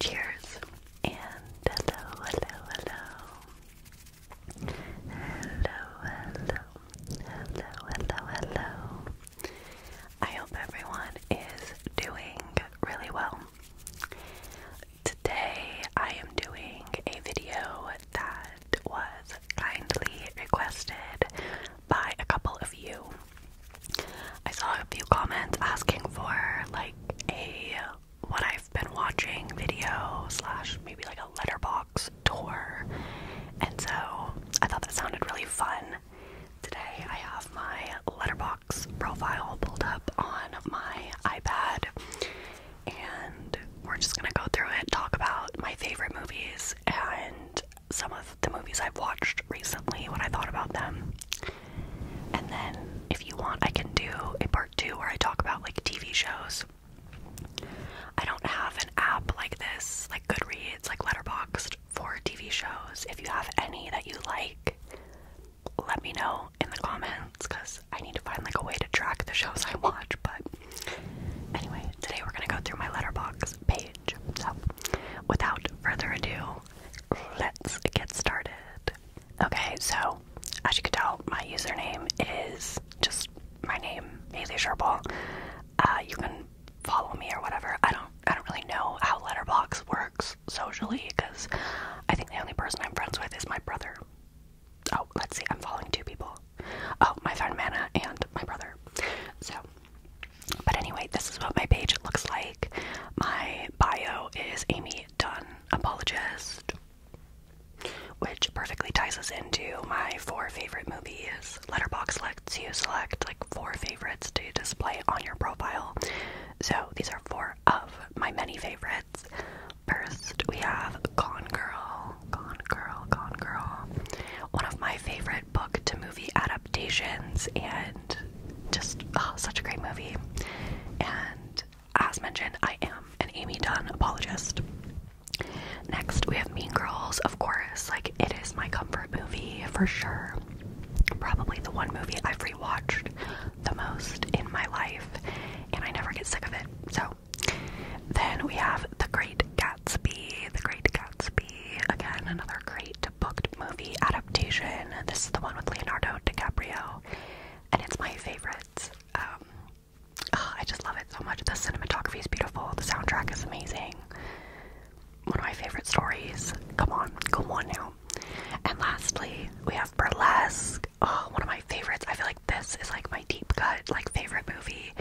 Cheers and hello, hello, hello. Hello, hello, hello, hello, hello. I hope everyone is doing really well. Today I am doing a video that was kindly requested by a couple of you. I saw a few comments asking for like a what I've been watching video slash maybe like a letterbox tour, and so I thought that sounded really fun. Today I have my letterbox profile pulled up on my iPad, and we're just gonna go through it, talk about my favorite movies and some of the movies I've watched recently, when I thought about them. And then, if you want, I can do a part two where I talk about like TV shows. I don't have an app like this, like Goodreads, like Letterboxd for TV shows. If you have any that you like, let me know in the comments because I need to find like a way to track the shows I watch, but Anyway, today we're going to go through my letterbox page. So, without further ado, let's get started. Okay, so as you can tell, my username is just my name, Haley Sherbal. Uh, you can follow me or whatever. I don't, I don't really know how Letterbox works socially because I think the only person I'm friends with is my brother. Oh, let's see, I'm following two people. Oh, my friend Manna and my brother. So, but anyway, this is what my page looks like. My bio is Amy Dunn, apologist, which perfectly ties us into my four favorite movies. Letterbox lets you select like four favorites to display on your profile. So, these are four of my many favorites. First, we have Gone Girl. Gone Girl, Gone Girl. One of my favorite book to movie adaptations, and just oh, such a great movie. And as mentioned, I am an Amy Dunn apologist. Next, we have Mean Girls, of course. Like, it is my comfort movie for sure. Probably the one movie I've rewatched the most in my life, and I never get sick of it. So, then we have The Great Gatsby. The Great Gatsby. Again, another great booked movie adaptation. This is the one with Leonardo DiCaprio. And it's my favorite. Um, ah, I just love it so much. The cinematography is beautiful. The soundtrack is amazing. One of my favorite stories. Come on, go on now. And lastly, we have Burlesque. Oh, one of my favorites. I feel like this is like my deep cut, like favorite movie.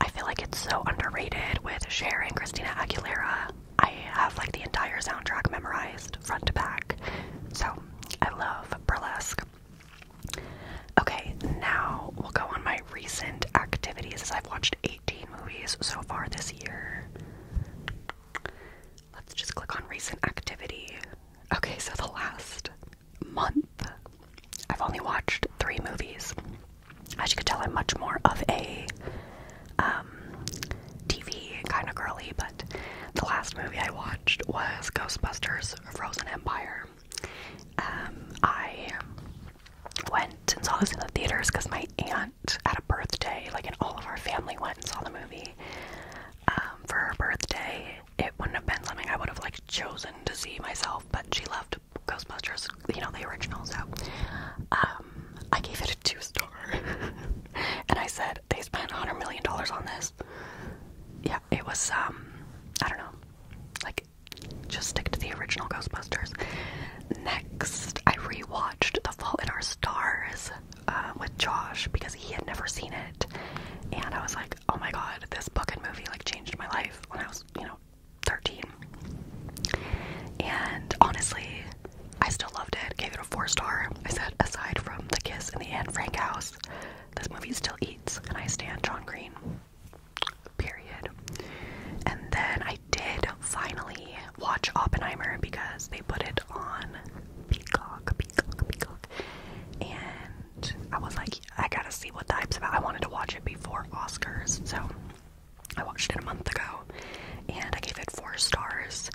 I feel like it's so underrated with Cher and Christina Aguilera. I have like the entire soundtrack memorized front to back. So I love burlesque. Okay, now we'll go on my recent activities as I've watched 18 movies so far this year. Let's just click on recent activity. Okay, so the last month, I've only watched three movies. As you can tell, I'm much more of a um, TV kind of girly, but the last movie I watched was Ghostbusters Frozen Empire. Um, I went and saw this in the theaters because my aunt had a birthday, like, and all of our family went and saw the movie um, for her birthday. It wouldn't have been something I would have, like, chosen to see myself, but she loved Ghostbusters, you know, the original, so um, I gave it a two star. and I said, they spent a $100 million on this. Yeah, it was, um, I don't know. Like, just stick to the original Ghostbusters. Next, I rewatched The Fault in Our Stars uh, with Josh because he had never seen it. And I was like, oh my god, this book and movie, like, changed my life when I was, you know, 13. And honestly, I still loved it. Gave it a four star. I said, aside from The Kiss in the Anne Frank House, this movie still eats, and I stand John Green. Period. And then I did finally watch Oppenheimer because they put it on Peacock, Peacock, Peacock. And I was like, I gotta see what the hype's about. I wanted to watch it before Oscars, so I watched it a month ago, and I gave it four stars.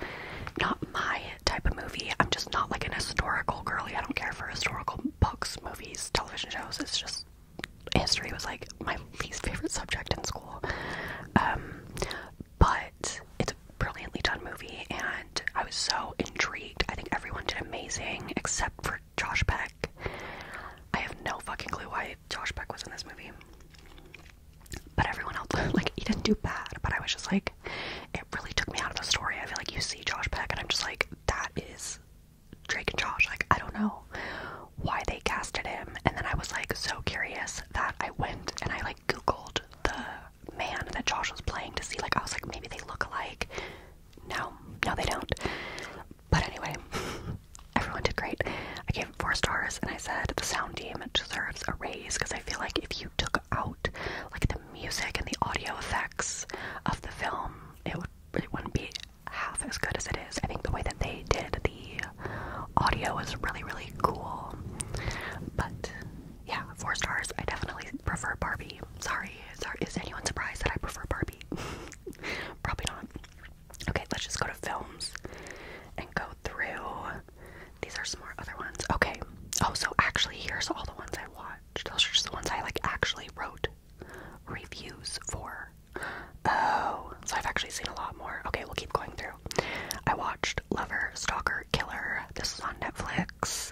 Not my type of movie. I'm just not like an historical girly. I don't care for historical books, movies, television shows. It's just history was like my least favorite subject in school. Um, but it's a brilliantly done movie, and I was so intrigued. I think everyone did amazing except for Josh Peck. I have no fucking clue why Josh Peck was in this movie. But everyone else, like, he didn't do bad. But I was just like, it really took me out of the story. I feel like you see Josh Peck, and I'm just like, that is Drake and Josh. Like, I don't know why they casted him. And then I was like, so curious that I went and I like Googled the man that Josh was playing to see, like, I was like, maybe they look alike. No, no, they don't. But anyway, everyone did great. I gave it four stars and I said the sound team deserves a raise because I feel like if you took out like the music and the audio effects of the film, it would it wouldn't be half as good as it is. I think the way that they did the audio was really, really cool. But yeah, four stars. I definitely prefer Barbie. Sorry, sorry. Is anyone surprised that I prefer Barbie? Probably not. Okay, let's just go to films and go through. These are some more other ones. Okay. Oh, so actually, here's all the ones I watched. Those are just the ones I like actually wrote reviews for. Oh, so I've actually seen a lot more. Okay, we'll keep going through. I watched Lover, Stalker, Killer. This is on Netflix.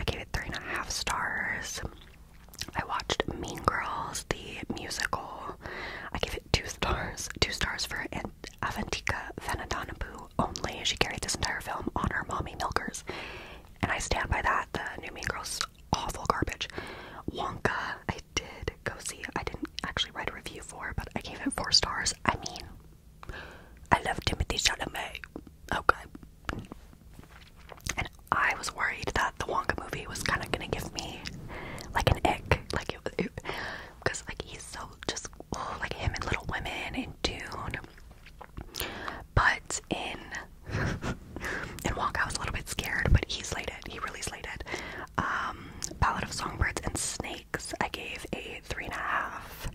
I gave it three and a half stars. I watched Mean Girls, the musical. I give it two stars. Two stars for Avantika Venadanaboo only. She carried this entire film on her mommy milkers. And I stand by that. The new Mean Girls, awful garbage. Wonka, I did go see. I didn't actually write a review for, but I gave it four stars. I mean, I love Timothy Chalamet. Okay. And I was worried that the Wonka movie was kind of gonna give me like an ick, like it, was, because like he's so just oh, like him and Little Women and Dune, but in in Wonka I was a little bit scared, but he slayed it. He really slayed it. Um, Ballad of Songbirds and Snakes, I gave a three and a half.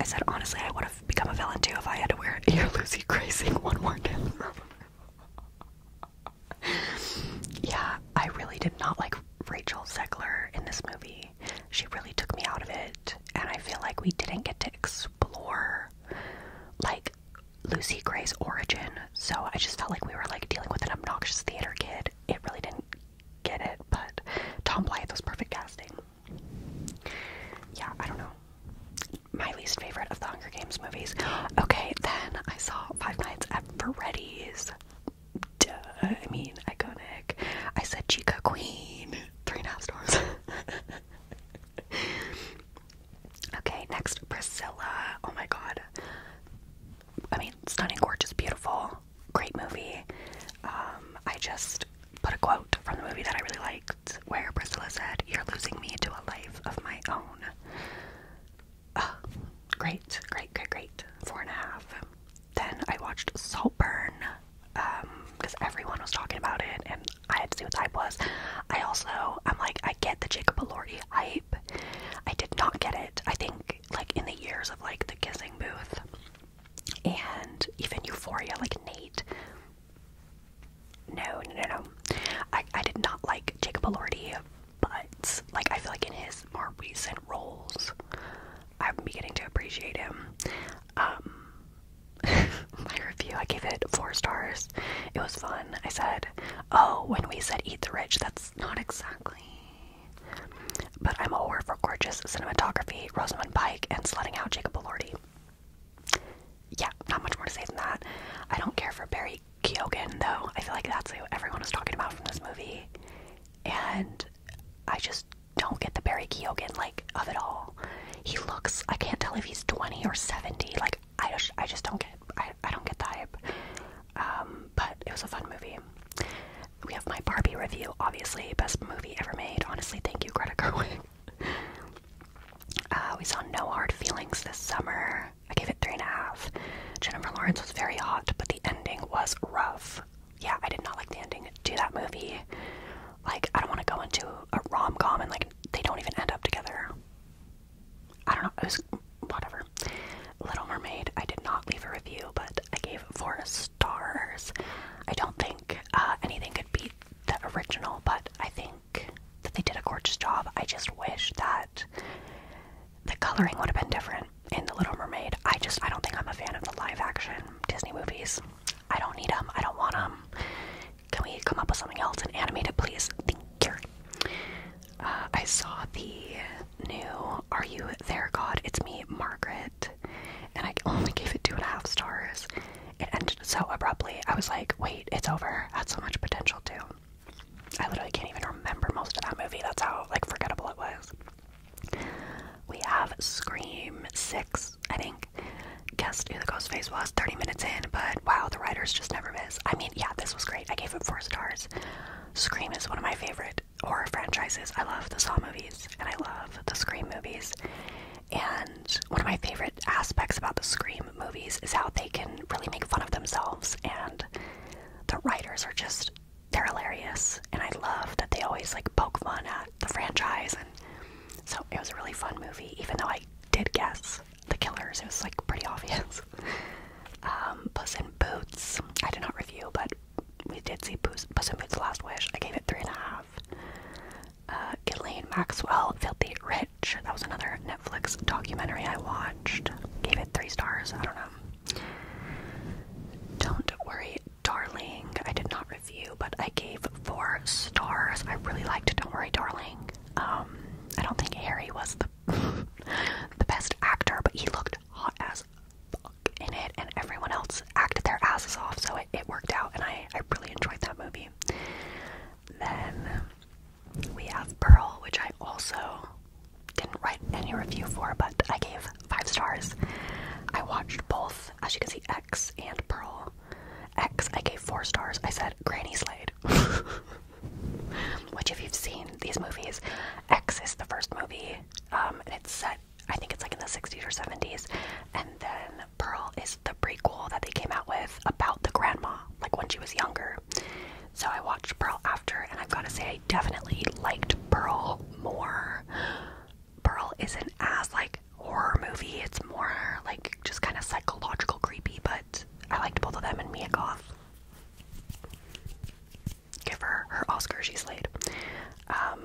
I said honestly, I would have become a villain too if I had to wear a Lucy Grazing one more time. yeah, I really did not like Rachel Zegler in this movie. She really took me out of it, and I feel like we didn't get to explore like Lucy Gray's origin. So I just felt like we were like dealing with an obnoxious theater kid. It really didn't get it, but Tom Blythe was perfect casting. Yeah, I don't know my least favorite of the Hunger Games movies. Okay, then I saw Five Nights at Freddy's. I mean, iconic. I said Chica Queen. Three and a half stars. okay, next, Priscilla. Oh my god. I mean, stunning, gorgeous, beautiful. Great movie. Um, I just put a quote from the movie that I really liked where Priscilla said, You're losing me to a life of my own. Uh, great, great, great, great. Four and a half. Then I watched Saltburn because um, everyone was talking about it and I had to see what the hype was. I also, I'm like, I get the Jacob Elordi hype. I did not get it, I think, like in the years of like the kissing booth and even Euphoria, like Nate no, no, no, no. I, I did not like Jacob Elordi, but like I feel like in his more recent roles, I'm beginning to appreciate him. Um, my review, I gave it four stars. It was fun. I said, "Oh, when we said eat the rich, that's not exactly." But I'm a whore for gorgeous cinematography, Rosamund Pike, and slutting out Jacob Elordi yeah, not much more to say than that. I don't care for Barry Keoghan though. I feel like that's what everyone is talking about from this movie, and I just don't get the Barry Keoghan like of it all. He looks. I can't tell if he's twenty or seventy. Like I just, I just don't get. I, I don't get the hype. Um, but it was a fun movie. We have my Barbie review, obviously best movie ever made. Honestly, thank you, Greta Gerwig. Uh, we saw No Hard Feelings this summer. I gave it three and a half. Jennifer Lawrence was very hot, but the ending was rough. Yeah, I did not like the ending to that movie. Like, I don't want to go into a rom com and like they don't even end up together. I don't know. It was whatever. Little Mermaid. I did not leave a review, but I gave four stars. I don't think uh, anything could beat the original, but I think that they did a gorgeous job. I just wish that the coloring would have been different in The Little Mermaid. I just, I don't think I'm a fan of the live action Disney movies. I don't need them. I don't want them. Can we come up with something else and animate it, please? Thank you. Uh, I saw the new Are You There, God? It's Me, Margaret. And I only gave it two and a half stars. It ended so abruptly. I was like, wait, it's over. Had so much potential too. I literally can't even remember most of that movie. That's how like forgettable it was. We have Scream Six, I think. Guessed who the ghost face was 30 minutes in, but wow, the writers just never miss. I mean, yeah, this was great. I gave it four stars. Scream is one of my favorite horror franchises. I love the Saw movies and I love the Scream movies. And one of my favorite aspects about the Scream movies is how they can really make fun of themselves, and the writers are just they're hilarious, and I love that they always like poke fun at the franchise, and so it was a really fun movie, even though I did guess the killers. It was like pretty obvious. Um, Puss Boots, I did not review, but we did see Puss, Puss in Boots: Last Wish. I gave it three and a half. Uh, Ghislaine Maxwell, Filthy Rich. That was another Netflix documentary I watched. Gave it three stars. I don't know. Don't worry, darling. I did not review, but I gave four stars. I really liked it. Don't Worry, Darling. Um, I don't think Harry was the the best actor, but he looked hot as fuck in it, and everyone else acted their asses off, so it, it worked out, and I I really enjoyed that movie. Then we have Pearl, which I also didn't write any review for, but I gave five stars. I watched both, as you can see, X and Pearl. X, I gave four stars. I said Granny Slade. Which, if you've seen these movies, X is the first movie, um, it's set, I think it's like in the 60s or 70s, and then Pearl is the prequel that they came out with about the grandma, like when she was younger. So I watched Pearl after, and I've got to say, I definitely liked Pearl more. Pearl isn't as like horror movie; it's more like just kind of psychological creepy. But I liked both of them, and Mia Goth. Give her her Oscar, she's slayed. Um,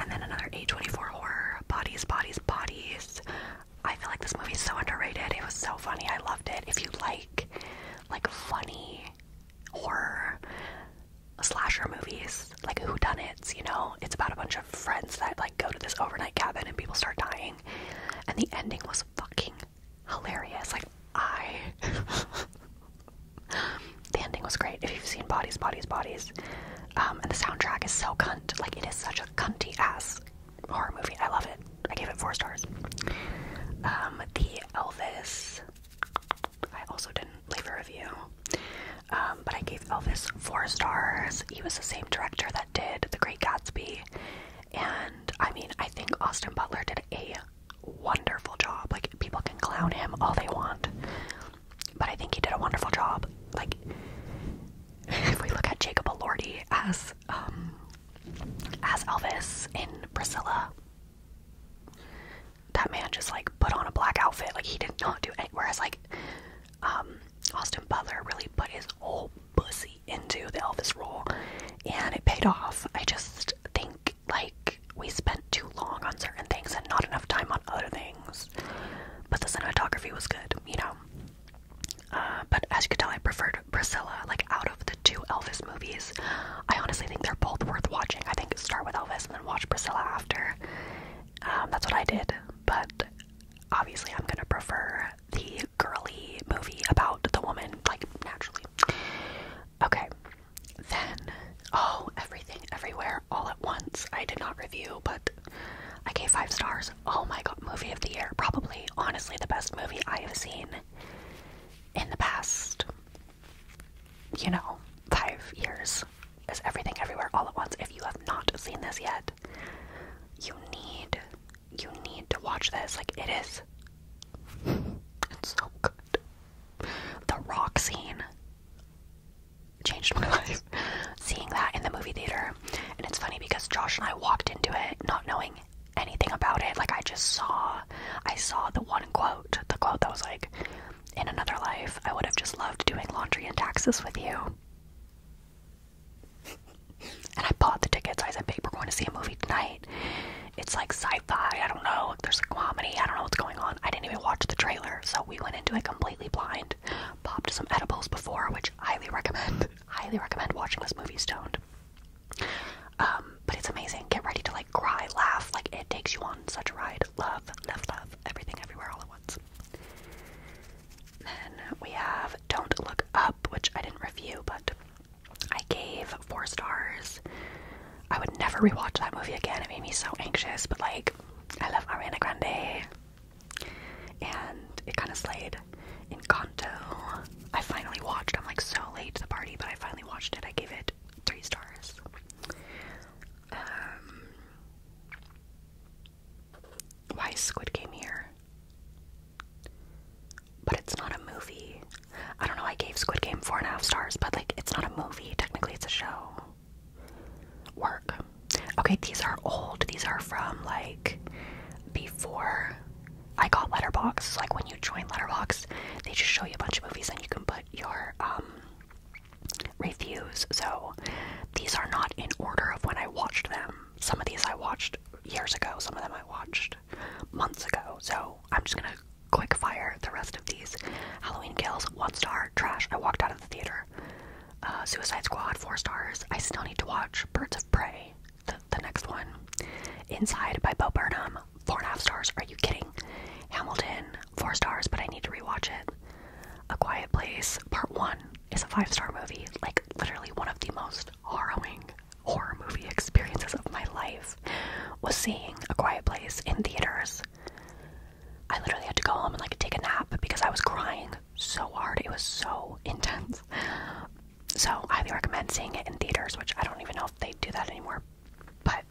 and then another A24 horror, Bodies, Bodies, Bodies. I feel like this movie's so underrated. It was so funny. I loved it. If you like like funny horror slasher movies, like whodunits, you know, it's about a bunch of friends that like go to this overnight cabin and people start dying. And the ending was fucking hilarious. Like I The ending was great. If you've seen Bodies, Bodies, Bodies, um, and the soundtrack is so cunt. Like it is such a cunty ass horror movie. I love it. I gave it four stars. Um, the Elvis. I also didn't leave a review, um, but I gave Elvis four stars. He was the same director that did The Great Gatsby, and I mean, I think Austin Butler did a wonderful job. Like people can clown him all they want, but I think he did a wonderful job. Like if we look at Jacob Elordi as um, as Elvis in Priscilla. That man just like put on a black outfit, like he did not do any. Whereas like um, Austin Butler really put his whole pussy into the Elvis role, and it paid off. I just think like we spent too long on certain things and not enough time on other things. But the cinematography was good, you know. Uh, but as you can tell, I preferred Priscilla. Like out of the two Elvis movies, I honestly think they're both worth watching. I think start with Elvis and then watch Priscilla after. Um, that's what I did. But obviously, I'm gonna prefer the girly movie about the woman, like naturally. Okay, then oh, everything, everywhere, all at once. I did not review, but I gave five stars. Oh my god, movie of the year. Probably, honestly, the best movie I have seen in the past, you know, five years is Everything Everywhere All at Once. If you have not seen this yet, you need, you need to watch this. Like, it is, it's so good. The rock scene changed my life. Seeing that in the movie theater and it's funny because Josh and I walked into it not knowing anything about it. Like I just saw I saw the one quote, the quote that was like, In another life, I would have just loved doing laundry and taxes with you. and I bought the tickets. I said, Babe, we're going to see a movie tonight. It's like sci-fi, I don't know, there's a comedy, I don't know what's going on. I didn't even watch the trailer, so we went into it completely blind it. Popped some edibles before, which highly recommend. highly recommend watching this movie stoned. Um, but it's amazing. Get ready to like cry, laugh. Like it takes you on such a ride. Love, love, love. Everything, everywhere, all at once. Then we have Don't Look Up, which I didn't review, but I gave four stars. I would never rewatch that movie again. It made me so anxious, but like, I love Ariana Grande and it kind of slayed. Kanto. I finally watched. I'm like so late to the party, but I finally watched it. I gave it three stars. Um, why is Squid Game here? But it's not a movie. I don't know. I gave Squid Game four and a half stars, but like it's not a movie. Technically, it's a show. Work. Okay, these are old. These are from like before I got Letterbox. Like when you join Letterbox, they just show you a bunch of movies and you can put your um, reviews. So these are not in order of when I watched them. Some of these I watched years ago, some of them I watched months ago. So I'm just gonna quick fire the rest of these. Halloween Kills, one star, trash. I walked out of the theater. Uh, Suicide Squad, four stars. I still need to watch Birds of Prey the, the next one. Inside by Bo Burnham, four and a half stars. Are you kidding? Hamilton, four stars, but I need to rewatch it. A Quiet Place, part one, is a five star movie. Like, literally, one of the most harrowing horror movie experiences of my life was seeing A Quiet Place in theaters. I literally had to go home and like take a nap because I was crying so hard. It was so intense. So, highly recommend seeing it in theaters, which I don't even know if they do that anymore. But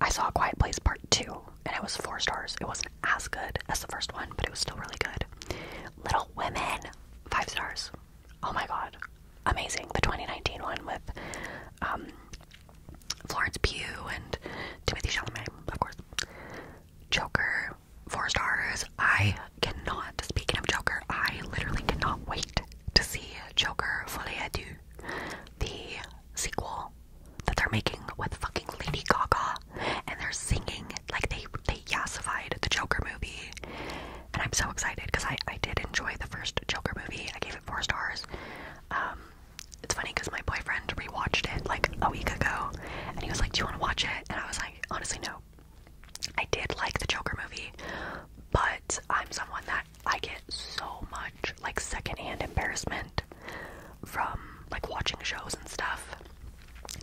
I saw Quiet Place Part 2, and it was four stars. It wasn't as good as the first one, but it was still really good. Little Women, five stars. Oh my god, amazing. The 2019 one with um, Florence Pugh and Timothy Chalamet, of course. Joker, four stars. I cannot. Speaking of Joker, I literally cannot wait to see Joker Folie à the sequel that they're making with fucking Lady Gaga, and they're singing like they they yassified the Joker movie, and I'm so excited because I I did enjoy the first Joker movie. I gave it four stars. Um, it's funny because my boyfriend rewatched it like a week ago, and he was like, "Do you want to watch it?" And I was like, "Honestly, no." I did like the Joker movie, but I'm someone that I get so much like secondhand embarrassment from like watching shows and stuff.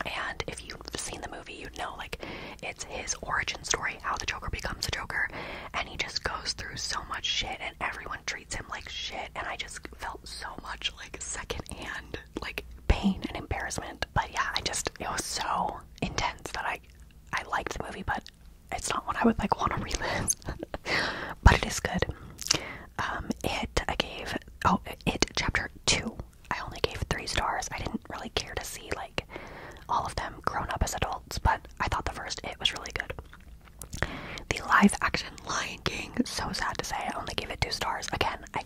And if you've seen the movie, you'd know like it's his origin story, how the Joker becomes a Joker, and he just goes through so much shit, and everyone treats him like shit. And I just felt so much like secondhand like pain and embarrassment but yeah, I just it was so intense that I I liked the movie, but it's not one I would like want to relive. but it is good. Um, it I gave oh it chapter two. I only gave three stars. I didn't really care to see like all of them grown up as adults, but I thought the first it was really good. The live action Lion King, so sad to say, I only gave it two stars. Again, I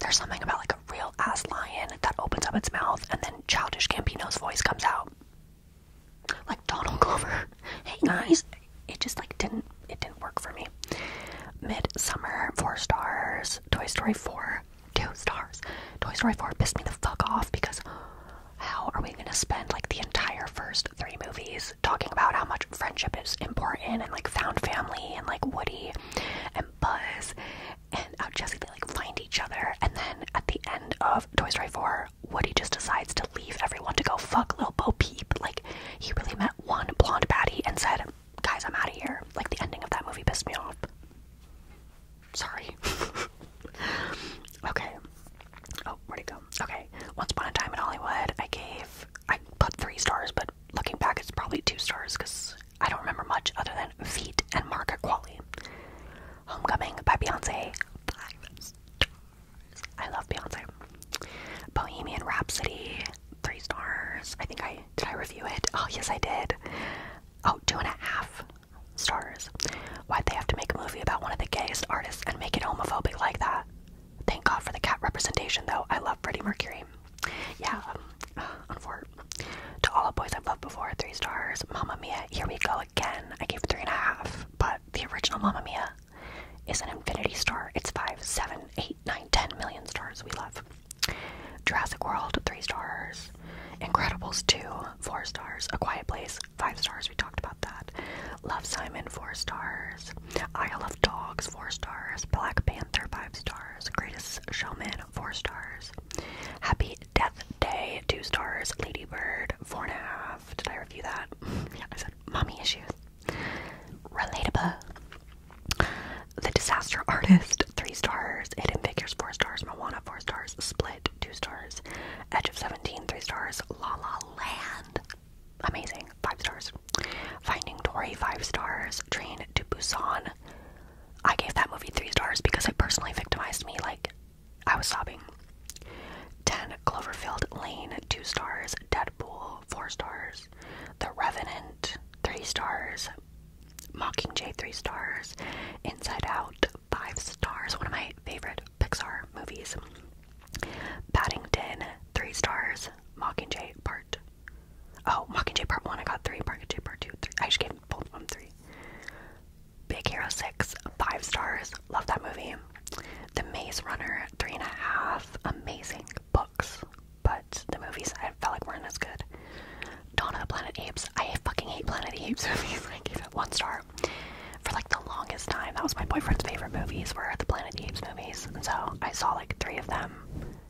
there's something about like a real ass lion that opens up its mouth and then Childish Campino's voice comes out. Like Donald Glover. Hey guys, it just like didn't it didn't work for me. Midsummer, four stars. Toy Story 4, two stars. Toy Story 4 pissed me the fuck off because how are we gonna spend like the entire first three movies talking about how much friendship is important and like found family and like Woody and. Buzz and uh, Jesse, they like find each other. And then at the end of Toy Story 4, Woody just decides to leave everyone to go fuck little Bo Peep. Like, he really met one blonde baddie and said, Guys, I'm out of here. Like, the ending of that movie pissed me off. Sorry. okay. Oh, where'd it go? Okay. Once Upon a Time in Hollywood, I gave, I put three stars, but looking back, it's probably two stars because I don't remember much other than feet and market quality. Homecoming by Beyonce, I love Beyonce. Bohemian Rhapsody, three stars. I think I did I review it? Oh yes I did. Oh, two and a half stars. Why'd they have to make a movie about one of the gayest artists and make it homophobic like that? Thank God for the cat representation though. I love Freddie Mercury yeah, um, To all the boys I've loved before, three stars. Mamma Mia, here we go again. I gave three and a half, but the original Mamma Mia is an infinity star. It's five, seven, eight, nine, ten million stars we love. Jurassic World, three stars. Incredibles 2, four stars. A Quiet Place, five stars. We talked about that. Love Simon, four stars. I love. Dogs, 4 stars. Black Panther, 5 stars. Greatest Showman, 4 stars. Happy Death Day, 2 stars. Lady Bird 4.5. Did I review that? yeah, I said mommy issues. Relatable. The Disaster Artist, 3 stars. Hidden Figures, 4 stars. Moana, 4 stars. Split, 2 stars. Edge of Seventeen three stars. La La Land, amazing, 5 stars. Finding Dory, five stars. Train to Busan. I gave that movie three stars because it personally victimized me. Like, I was sobbing. 10. Cloverfield Lane, two stars. Deadpool, four stars. The Revenant, three stars. Mockingjay, three stars. Inside Out, five stars. One of my favorite Pixar movies. Paddington, three stars. Mockingjay, part Oh, Mockingjay Part One. I got three. Mockingjay Part Two, three. I just gave both of them three. Big Hero Six, five stars. Love that movie. The Maze Runner, three and a half. Amazing books, but the movies I felt like weren't as good. Dawn of the Planet of Apes. I fucking hate Planet of Apes movies. I gave it one star. For like the longest time, that was my boyfriend's favorite movies were the Planet of Apes movies, and so I saw like three of them.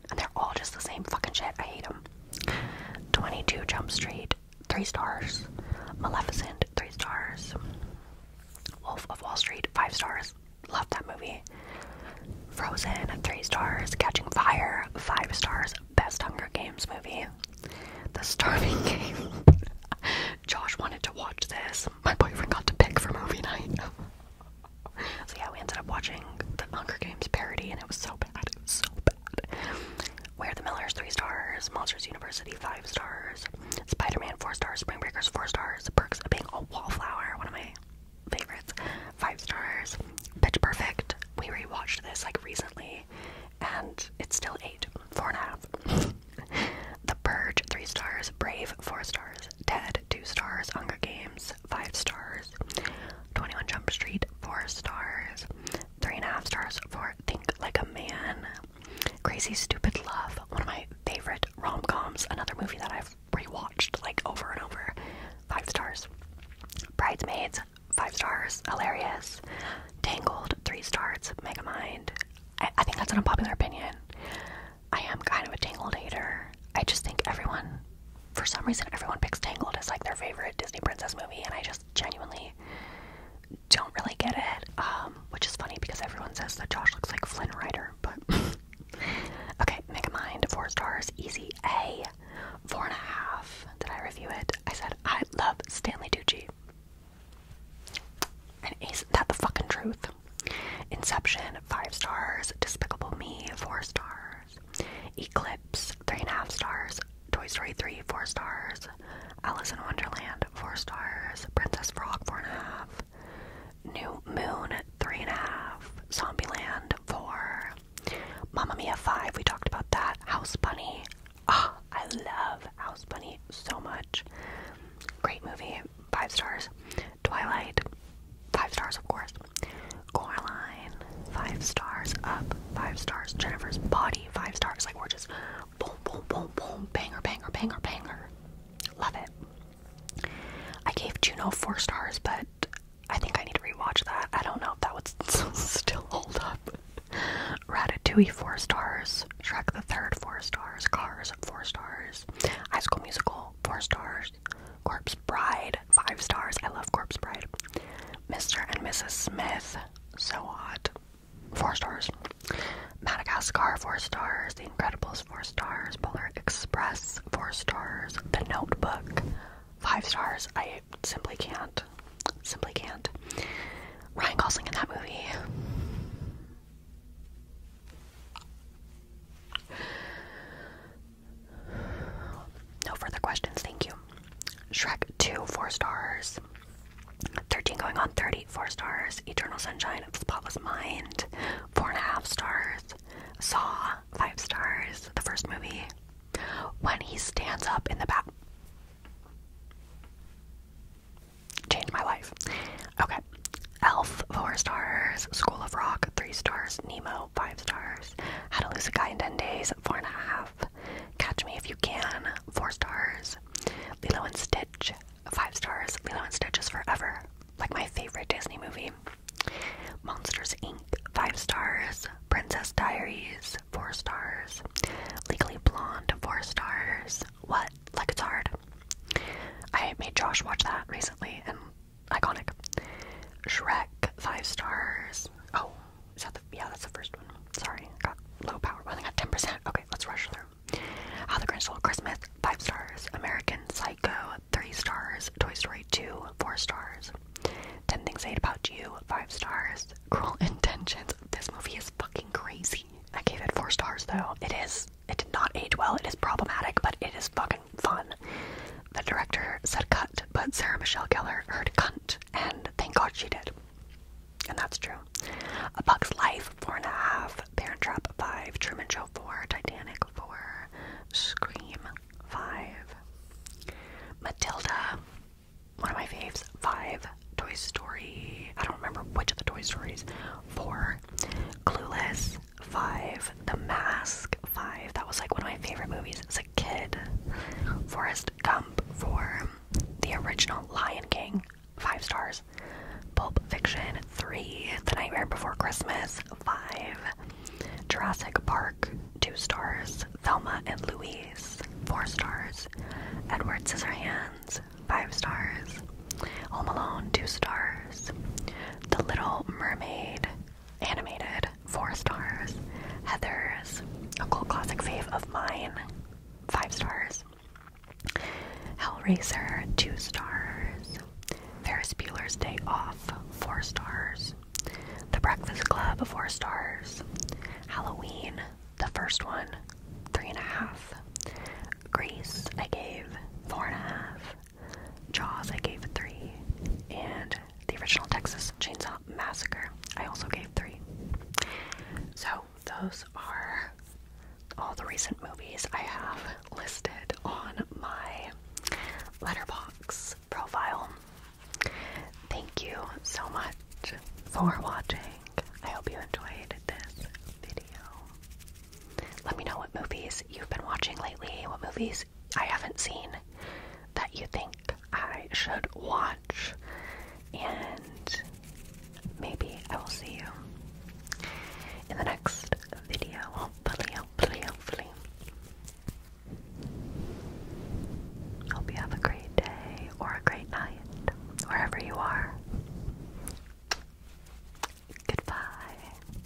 And they're all just the same fucking shit. I hate them. 22 Jump Street, 3 stars. Maleficent, 3 stars. Wolf of Wall Street, 5 stars. Love that movie. Frozen, 3 stars. Catching Fire, 5 stars. Best Hunger Games movie. The Starving Game. Josh wanted to watch this. My boyfriend got to pick for movie night. so yeah, we ended up watching the Hunger Games parody, and it was so bad, so bad. Where the Millers three stars, Monsters University five stars, Spider-Man four stars, Spring Breakers four stars, Perks of Being a Wallflower, one of my favorites, five stars, Pitch Perfect. We rewatched this like recently, and it's still eight, four and a half. the Purge three stars, Brave four stars, Ted. 2 stars, Hunger Games, 5 stars, 21 Jump Street, 4 stars, 3.5 stars for Think Like a Man, Crazy Stupid Love, one of my favorite rom coms, another movie that I've rewatched like over and over, 5 stars, Bridesmaids, 5 stars, hilarious, Tangled, 3 stars, Megamind. I, I think that's an unpopular opinion. I am kind of a Tangled hater. I just think everyone, for some reason, everyone picks Tangled as like their favorite Disney princess movie, and I just genuinely don't really get it. Um, which is funny because everyone says that Josh looks like Flynn Rider, but okay. Megamind, four stars, easy A, four and a half. Did I review it? I said I love Stanley Tucci. And isn't that the fucking truth? Inception, five stars. Despicable Me, four stars. Eclipse, three and a half stars. Toy Story 3, four stars. Alice in Wonderland, four stars. Princess Frog, four and a half. New Moon, three and a half. Zombieland, four. Mamma Mia 5, we talked about that. House Bunny. Ah, I love House Bunny so much. Great movie, five stars. Twilight, five stars, of course. Coraline, five stars up, five stars. Jennifer's body, five stars. Like we're just boom, boom, boom, boom, banger, banger, banger, banger. Love it. I gave Juno four stars, but I think I need to rewatch that. I don't know if that would still hold up. Ratatouille, four stars. Shrek the Third, four stars. Cars, four stars. High School Musical, four stars. Corpse Bride, five stars. I love Corpse Bride. Mr. and Mrs. Smith, so hot, four stars. Madagascar, four stars. The Incredibles, four stars. Polar Express, four stars. The Notebook, five stars. I simply can't. Simply can't. Ryan Gosling in that movie. No further questions, thank you. Shrek 2, 4 stars. 13 going on 30, 4 stars. Eternal Sunshine of the Spotless Mind, 4.5 stars. Saw, 5 stars. The first movie. When he stands up in the back. Changed my life. Okay. Elf, 4 stars. School of Rock, 3 stars. Nemo, five stars. How to lose a guy in 10 days, four and a half. Catch me if you can, four stars. Lilo and Stitch, five stars. Lilo and Stitch is forever, like my favorite Disney movie. Monsters Inc., five stars. Princess Diaries, four stars. Legally Blonde, four stars. What? Like it's hard. I made Josh watch that recently and iconic. Shrek, five stars. Oh, yeah? That's the first one. Sorry, I got low power. I only got ten percent. Okay, let's rush through. How the Grinch Stole Christmas, five stars. American Psycho, three stars. Toy Story two, four stars. Ten Things I Hate About You, five stars. Cruel Intentions. This movie is fucking crazy. I gave it four stars though. It is. It did not age well. It is problematic, but it is fucking fun. The director said cut, but Sarah Michelle Gellar heard cunt, and thank God she did. And that's true. A Bug's Life, four and a half. Parent Trap, five. Truman Show, four. Titanic, four. Scream, five. Matilda, one of my faves, five. Toy Story, I don't remember which of the Toy Stories, four. Clueless, Five. The Mask. Five. That was like one of my favorite movies as a kid. Forrest Gump. Four. The original Lion King. Five stars. Pulp Fiction. Three. The Nightmare Before Christmas. Five. Jurassic Park. Two stars. Thelma and Louise. Four stars. Edward Scissorhands. Five stars. Home Alone. Two stars. The Little Mermaid. Animated, four stars. Heather's, a cult classic fave of mine, five stars. Hellraiser, two stars. Ferris Bueller's Day Off, four stars. The Breakfast Club, four stars. Halloween, the first one, three and a half. Grease, I gave four and a half. Jaws, I gave three, and the original Texas Chainsaw Massacre, I also gave three. So those are all the recent movies I have listed on my letterbox profile. Thank you so much for watching. I hope you enjoyed this video. Let me know what movies you've been watching lately, what movies I haven't seen that you think I should watch, and maybe I will see you in the next video. Hopefully, hopefully, hopefully. Hope you have a great day or a great night, wherever you are. Goodbye.